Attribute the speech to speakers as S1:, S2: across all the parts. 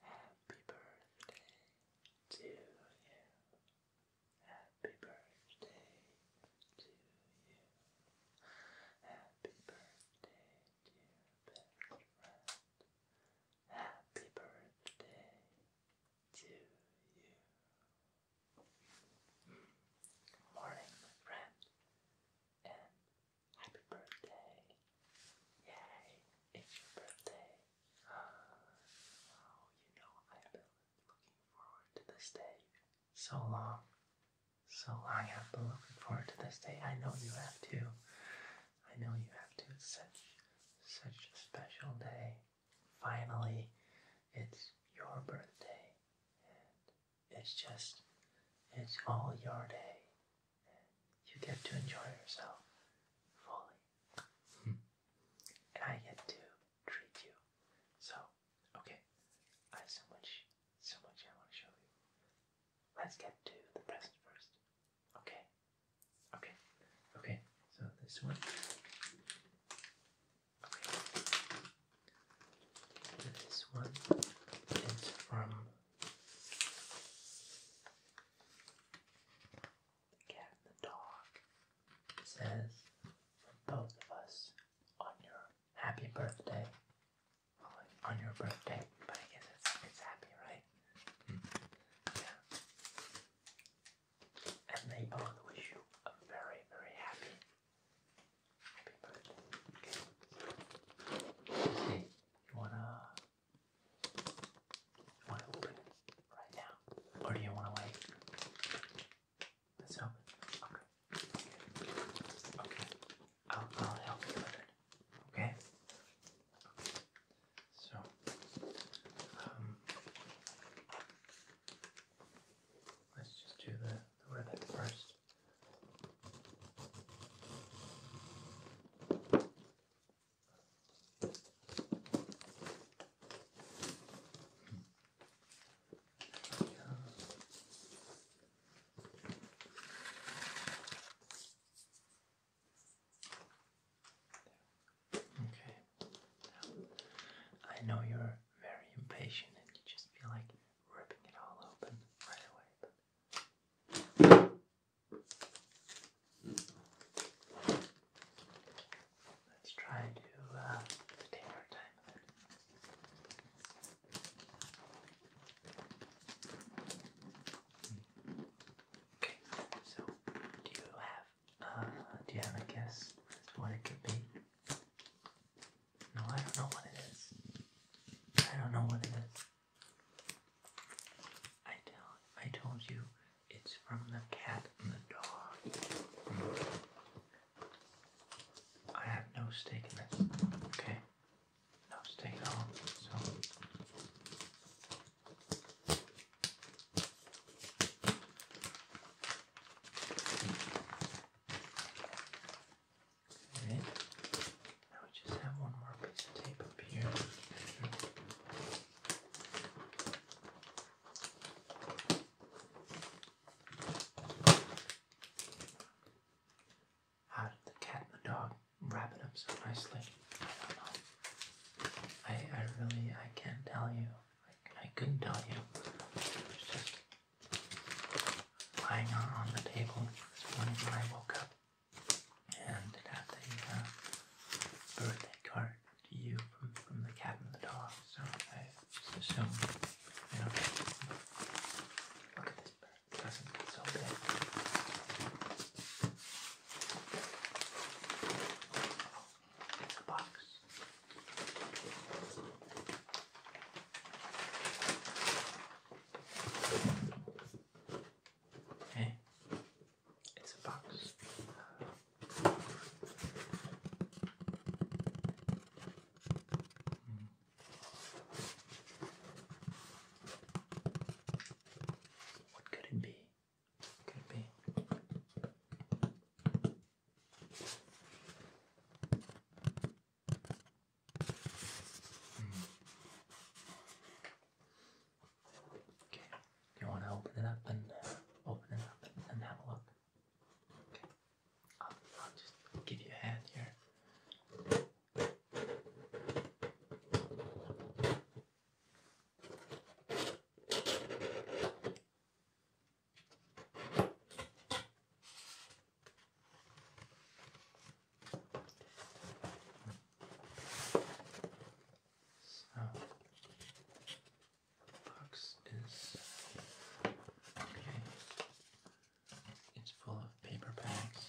S1: Happy birthday to you. Happy birthday to you. Happy birthday, dear best Happy birthday to you. Good morning, my friend, and Happy birthday. Yay, it's your birthday. Oh, you know, I've been looking forward to this day so long. So long, I've been looking forward to this day. I know you have too. I know you have to. such, such a special day. Finally, it's your birthday. And it's just, it's all your day you get to enjoy yourself fully. And I get to treat you. So, okay, I have so much, so much I want to show you. Let's get to the present first. Okay? Okay, okay, so this one. This one is from the cat and the dog says, from both of us, on your happy birthday. on your birthday, but I guess it's, it's happy, right? Yeah. And they both wish you a very, very happy, happy birthday. You wanna, wanna open right now, or do you wanna wait? Let's open. Okay. Okay. I'll, I'll help you with it. Okay. So, um, let's just do the, the ribbon first. Okay. I know you're very impatient and you just feel like ripping it all open right away. Let's try to, uh, take our time Okay, so do you have uh, do you have a guess as what it could be? No, I don't know what it is. I don't know what it is. I told you it's from the cat and the dog. I have no stake in this. Okay? No stake at all. So Okay. just have one more piece of tape up here. How did the cat and the dog wrap it up so nicely? I don't know. I, I really, I can't tell you. I, couldn't tell you lying on, on the table this morning when I woke up, and it had the uh, birthday card to you from, from the cat and the dog. So I just assumed, you know, look at this bird, it doesn't get It's a box. Okay, it's a box. Hmm. What could it be? could it be? Okay, you want to open it up and uh, open it up and, and have a look? Okay, I'll, I'll just give you a hand here. So, box is okay. It's full of paper bags.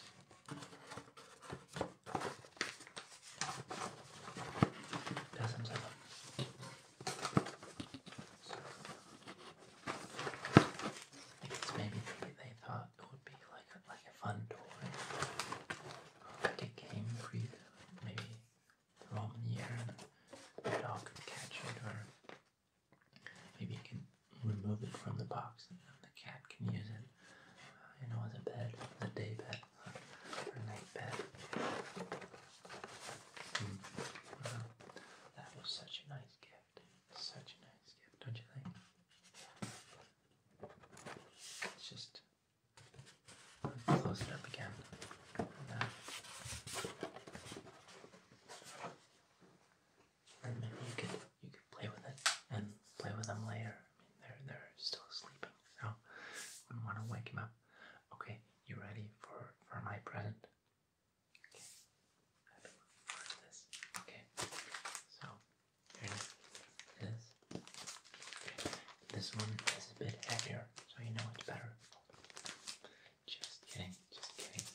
S1: Dozens of them. I guess maybe, they thought it would be like a, like a fun toy, like a game maybe throw them in the air and the dog could catch it, or maybe you can remove it from the box and the cat can use it, uh, you know, as a bed, a day bed, uh, or night bed. Hmm. that was such a nice gift gift. Such a nice gift, don't you think? Let's just close it up again. And, maybe you could you could play with it and play with them later. I mean, they're they're still sleeping, so wouldn't want to wake him up. Okay, you ready for for my present? Okay. I have this. Okay. So This. Okay. This one is a bit heavier, so you know it's better. Just kidding, just kidding.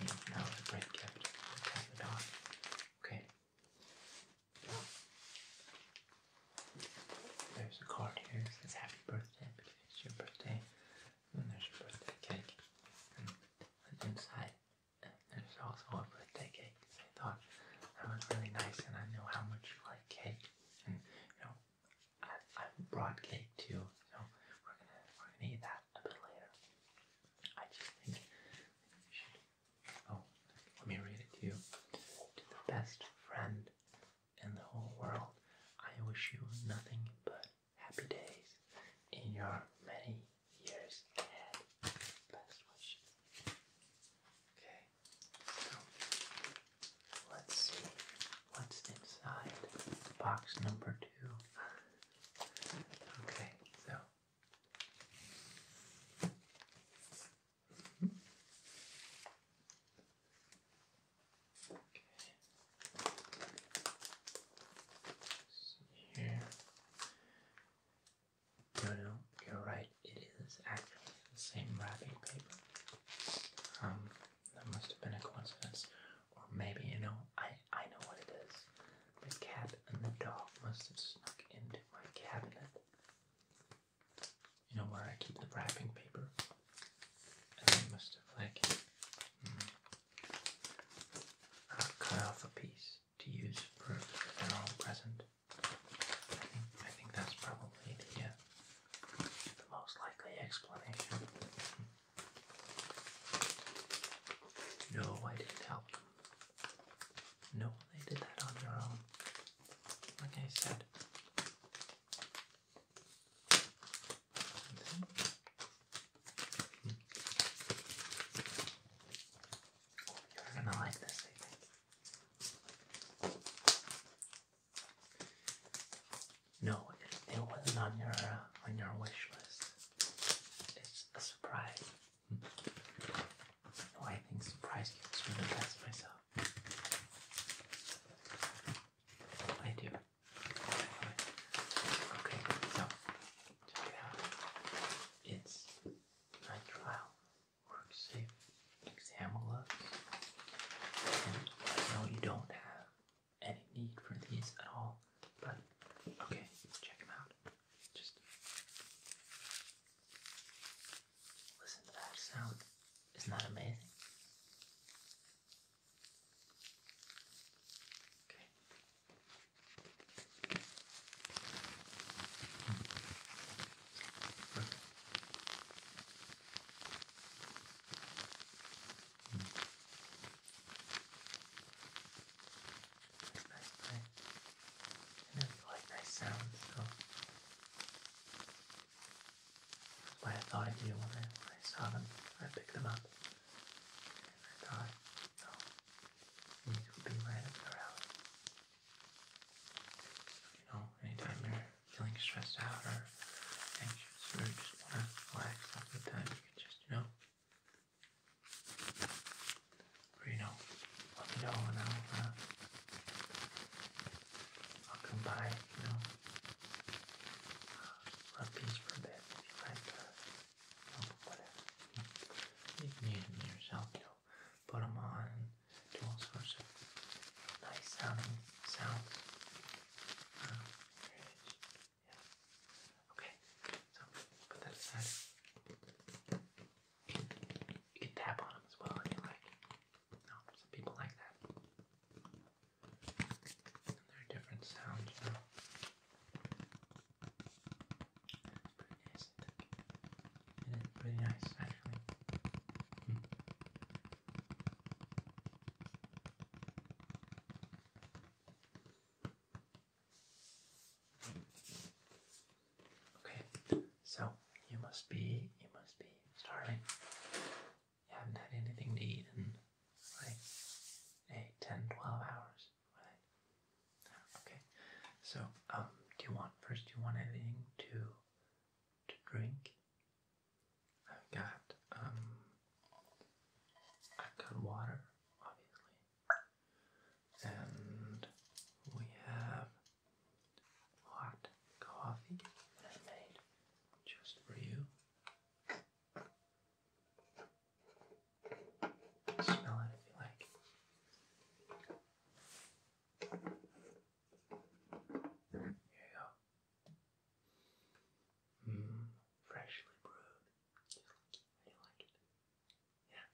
S1: You it's a great gift. Tap it on. Okay. There's a card here It says happy birthday because it's your birthday. And there's a birthday cake. And, inside, there's also a birthday cake. I thought that was really nice, and I know how much you like cake. And, you know, I, I brought cake too, so we're gonna, we're gonna eat that a bit later. I just think you should. Oh, let me read it to you. To the best friend in the whole world, I wish you nothing but happy days in your many years ahead. Best wishes. Okay, so let's see what's inside box number two. Okay, so here. No, no, you're right. It is actually the same wrapping paper. Um, that must have been a coincidence, or maybe you know, I I know what it is. The cat and the dog must have snuck into my cabinet. You know where I keep the wrapping paper, and they must have like I'll cut off a piece to use for an all present. I think, I think that's probably uh, the, most likely explanation. No, I didn't help No, they did that on their own. Like I said, you're gonna like this, I No, it, wasn't on your uh, on your wish list. It's a surprise. No, I think surprise gifts are the best myself. I do. Okay, so check it out. It's nitrile work safe exam gloves. I know you don't have any need for these at all, but okay, check them out. Just listen to that sound. Isn't that amazing? Okay. Nice, I know you like nice sounds, that's why I thought of you when I, when I saw them. I picked them up. And I thought, oh, these would be right up your alley. You know, anytime you're feeling stressed out or anxious or just want to relax all the time, you can just, you know, let me know and I'll, uh, I'll come by, you know, uh, for that if you like uh, you know, whatever. You can use them yourself, you put them on, do all sorts of nice sounding sounds. Ah, okay, so put that aside. You can tap on them as well if you like. No, some people like that. there are different sounds, you know. It's pretty nice, It is pretty nice, actually. Hmm. Okay, so you must be you must be starving you haven't had anything to eat in like 8, 10, 12 hours, right? Okay. So, um, do you want first? Do you want anything to to drink? I've got um, I've got water, obviously, and we have Hot coffee I made just for you. Smell it if you like. Here you go. Mmm, freshly brewed. Just you like it. Yeah.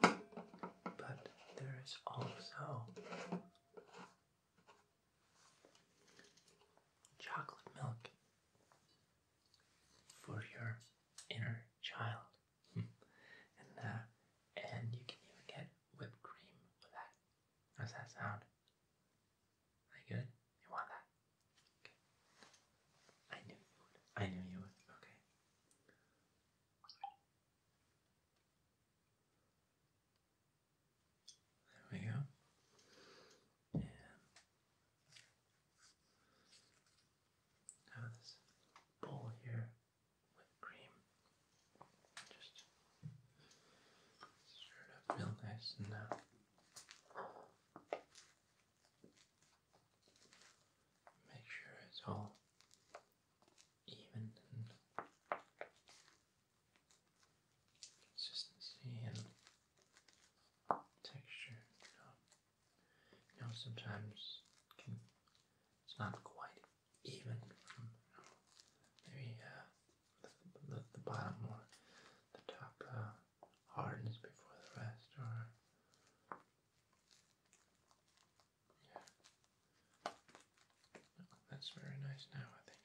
S1: But there is also chocolate milk for your inner child. Hmm. and uh, and you can even get whipped cream with that. How's that sound? That good? You want that? Okay. I knew you would. I knew you would. Okay. There we go. And have this bowl here with cream. Just stir it up real nice and now. Uh, make sure it's all even consistency and texture. You know, sometimes it's not quite even maybe uh, the, bottom or the top uh, hardens before the rest, or yeah. that's very nice now, I think.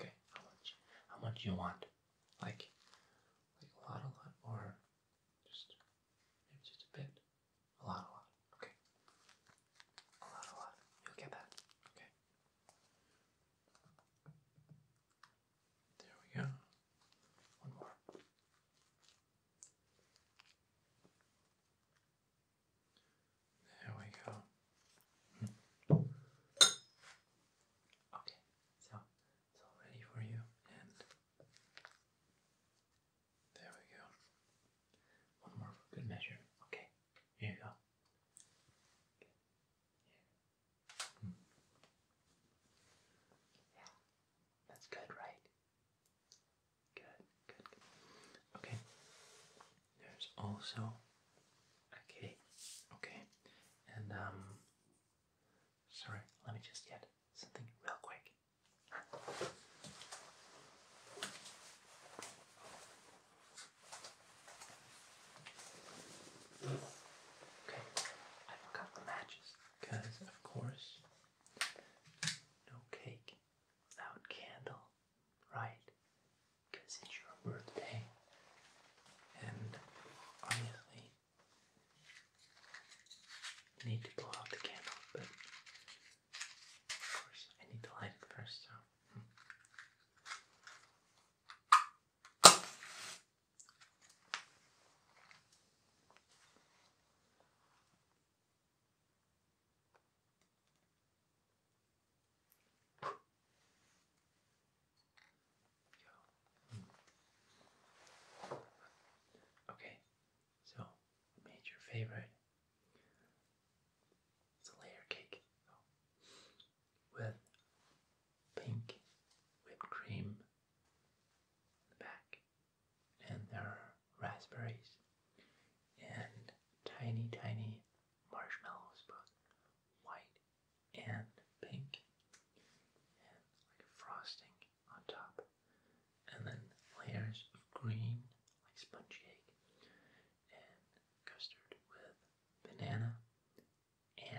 S1: Okay, how much? How much you want? Like, like a lot, a lot, or just maybe just a bit? A lot, a lot. Okay. A lot, a lot. You'll get that. Okay. There we go. One more. There we go. Okay, so it's all ready for you, and there we go. One more for good measure. Okay, here you go. Hmm. yeah, that's good, right? Good, good, good. Okay. There's also a Okay. And um sorry, let me just get something real quick. Okay, I forgot the matches because, of course, no cake, without candle, right? Because it's your birthday. And obviously, need to blow out the candle, but of I need to light it first, so. Hmm. Okay, so I favorite. It's a layer cake with pink whipped cream in the back and there are raspberries and tiny, tiny marshmallows, but white and pink, and like frosting on top, and then layers of green, like sponge cake, and custard with banana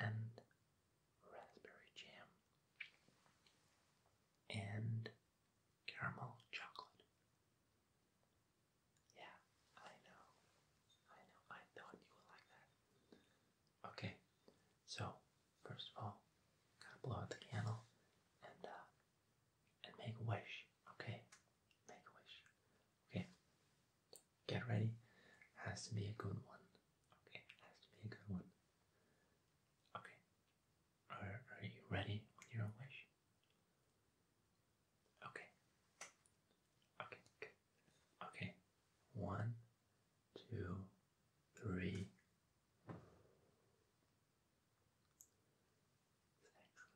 S1: and raspberry jam, and caramel chocolate. Yeah, I know. I know. I thought you would like that. Okay, so first of all, gotta blow out the candle and uh, and make a wish. Okay, make a wish. Okay, get ready. Has to be a good one. Okay, has to be a good one. Okay. Are, are you ready with your wish? Okay. Okay, good. Okay. One, two, three. Excellent.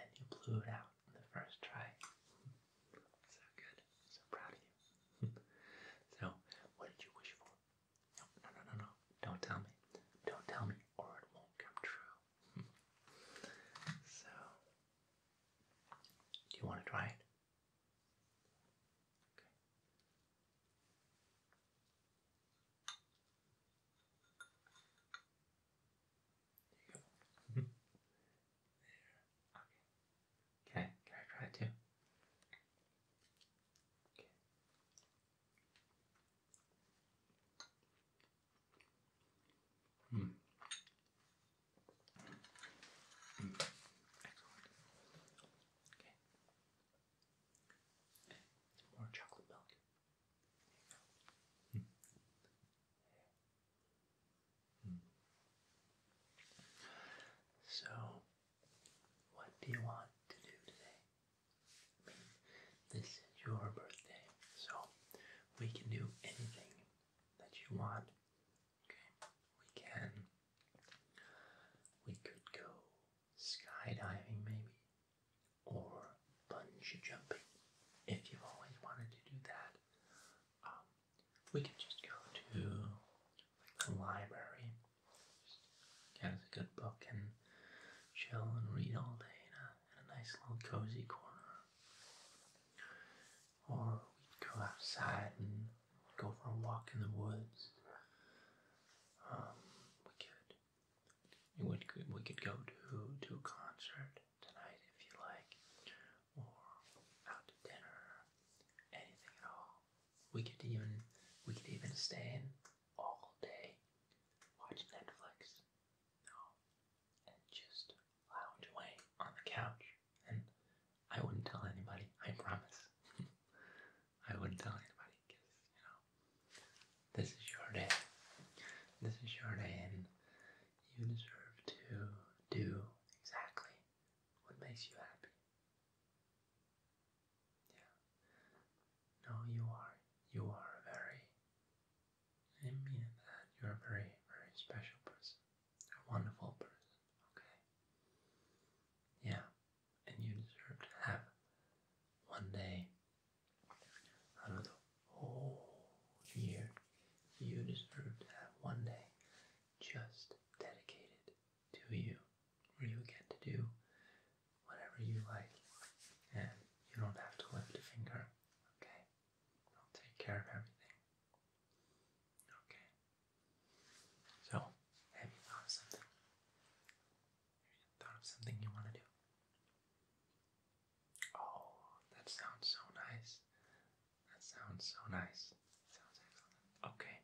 S1: And you blew it out in the first try. So good. So proud of you. so, what did you wish for? No, no, no, no, Don't tell me. Don't tell me, or it won't come true. so, do you want to try it? Okay. Okay. Can I, can I try it too? Okay. Hmm. Mm. Excellent. Okay. more chocolate milk. There so, what do you want to do today? this is your birthday, so we can do anything that you want. Okay, we can. We could go skydiving, maybe, or bungee jumping if you've always wanted to do that. Um, we could just go to like the library, get us a good book and chill and read all day in a, nice little cozy corner. Or we could go outside and go for a walk in the woods. Um, we could we would we could go to to a concert tonight if you like, or out to dinner, anything at all. We could even we could even stay in all day, watch Netflix, and just lounge away on the couch. And I wouldn't tell anybody. I promise. I wouldn't tell anybody because you know this is your day. This is your day, and you deserve to do exactly what makes you happy? Yeah. No, you are. You are a very. I mean that you're a very, very special person. A wonderful person. Okay. Yeah. And you deserve to have one day out of the whole year. You deserve to have one day just dedicated to you where you get to do whatever you like and you don't have to lift a finger, okay? I'll take care of everything. Okay. So, have you thought of something? thought of something you want to do? Oh, that sounds so nice. That sounds so nice. Okay,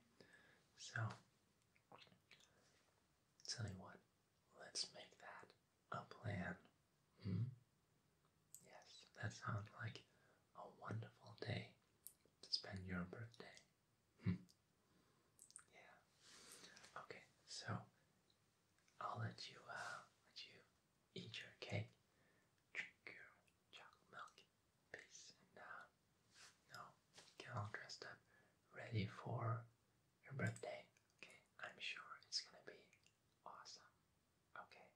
S1: so tell you what, let's make that a plan. Hmm? Yes, that sounds like a wonderful day to spend your birthday. Hmm. Yeah. Okay, so I'll let you uh, let you Eat your cake. Drink your chocolate milk. Peace and uh, now get all dressed up, ready for your birthday. Okay, I'm sure it's gonna be awesome. Okay.